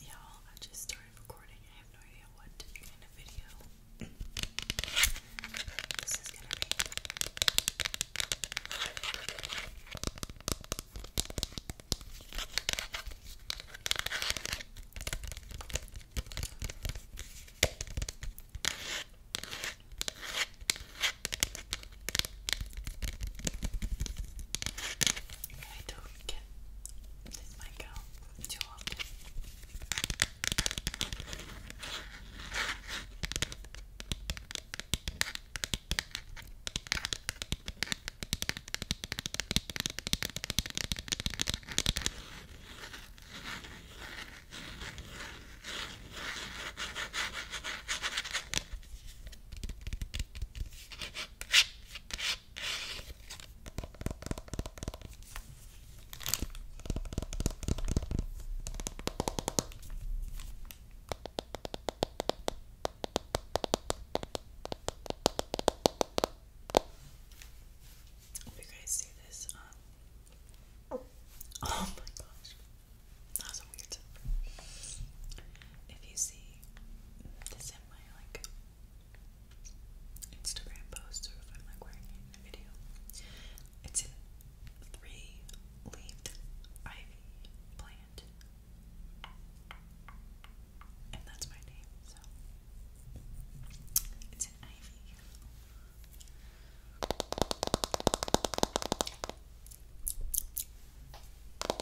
Y'all, I just started recording. I have no idea what in a video. this is gonna be we can let my too often. Hope you guys see this. Um, oh my gosh, that was weird if you see this in my like Instagram post or if I'm like wearing it in a video, it's a three-leaved ivy plant, and that's my name. So it's an ivy. We've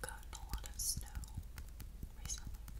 gotten a lot of snow recently.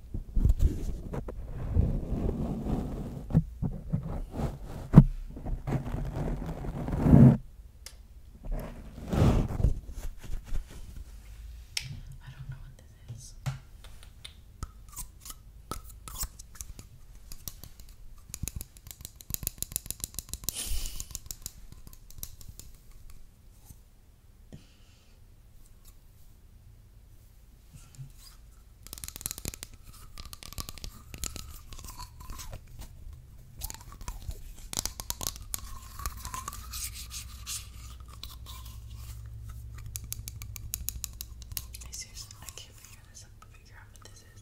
I don't know what this is. I seriously, I can't figure this out. Figure out what this is.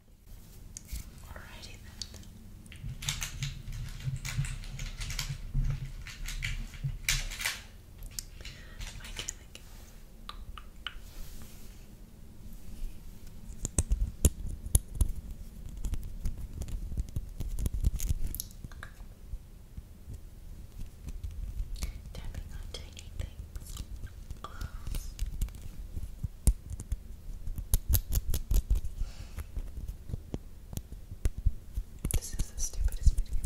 Alrighty then. I can't think of Tapping on tiny things. This is the stupidest video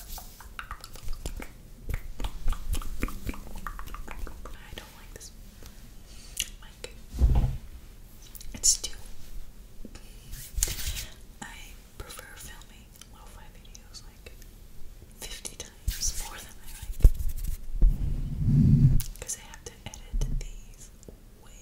I don't like this mic. It's too. I prefer filming lo fi videos like 50 times more than I like. Because I have to edit these way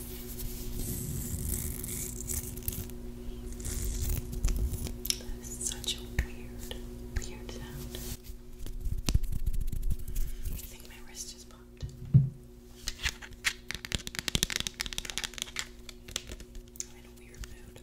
That is such a weird, weird sound. I think my wrist just popped. I'm in a weird mood.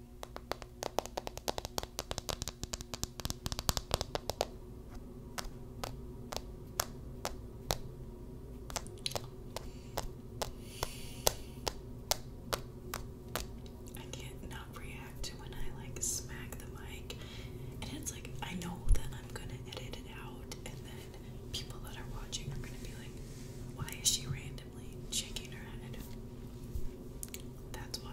I can't not react when I like smack the mic, and it's like I know that I'm gonna edit it out, and then people that are watching are gonna be like, "Why is she random?" randomly shaking her head. That's why.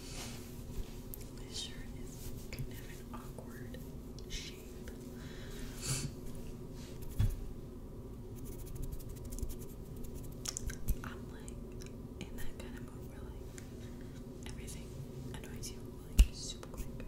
This shirt is kind of an awkward shape. I'm like in that kind of mood where like everything annoys you like super quick.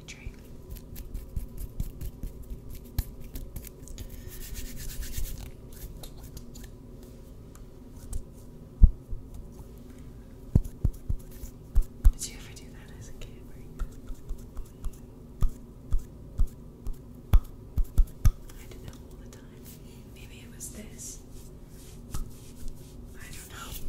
Did you ever do that as a kid? I did that all the time. Maybe it was this. I don't know.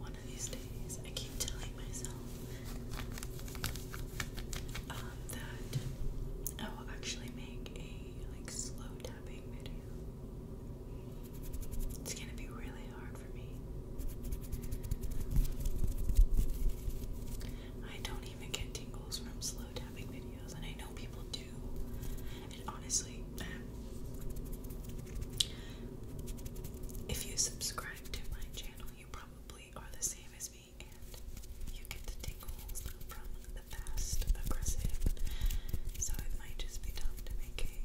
One of these days, I keep telling myself um, that I oh, will actually make a like slow down it's gonna be really hard for me. I don't even get tingles from slow tapping videos, and I know people do. And honestly, um, if you subscribe to my channel, you probably are the same as me, and you get the tingles from the fast, aggressive. So it might just be tough to make okay.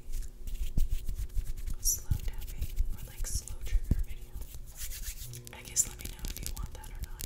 Slow tapping or like slow trigger video. I guess let me know if you want that or not.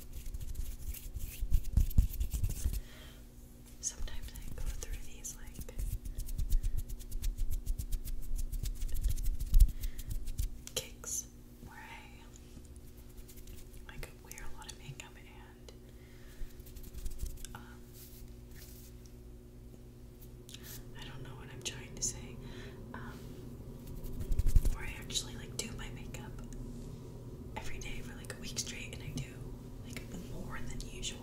Sometimes I go through these like kicks where I like wear a lot of makeup and um, I don't know what I'm trying to say. Um, where I actually like do my makeup every day for like a week straight and I do like more than usual.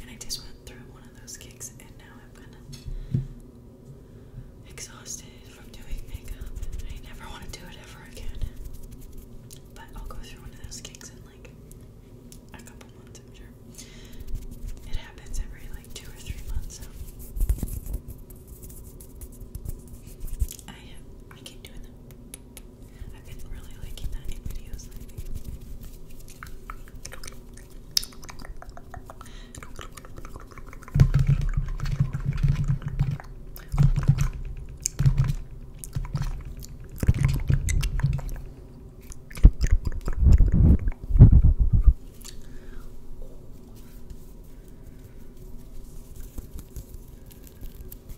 And I just went through one of those kicks and now I'm kind of exhausted from doing makeup. I never want to do it ever again. But I'll go through one of those kicks in like a couple months, I'm sure. It happens every like two or three months, I I keep doing them. I've been really liking that in videos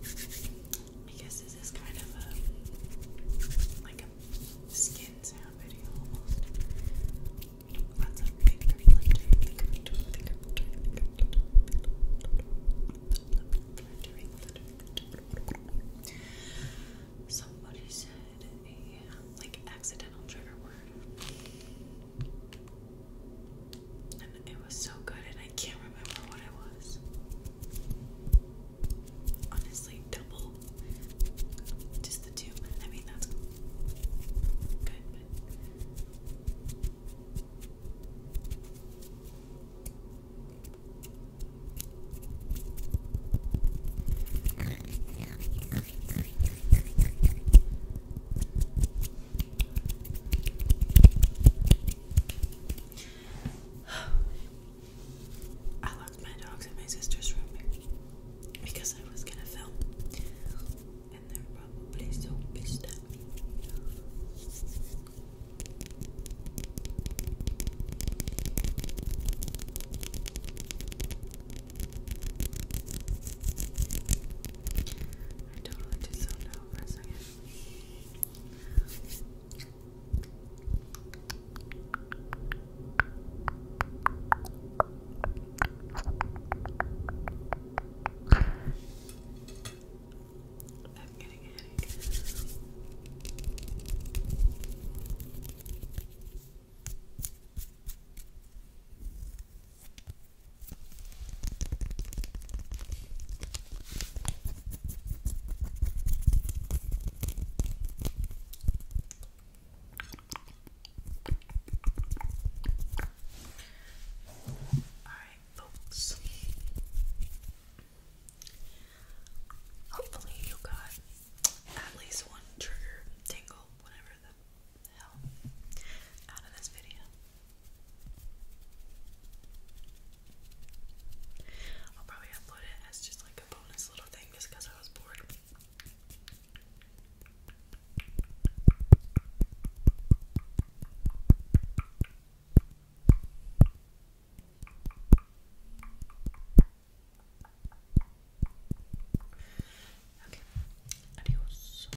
I guess this is kind of a like a skin sound video almost. Lots of big fluttering, big fluttering, big fluttering, fluttering. Somebody said a like accidental trigger word. And it was so good, and I can't remember what it was. Honestly, double. Just the two. I mean, that's good, I locked my dogs in my sister's room because I was gonna film, and they're probably so pissed at me. I totally just zoned out for a 2nd Alright, folks. Hopefully, you got at least one trigger tingle, whatever the hell out of this video. I'll probably upload it as just like a bonus little thing just because I was bored. Okay, adios.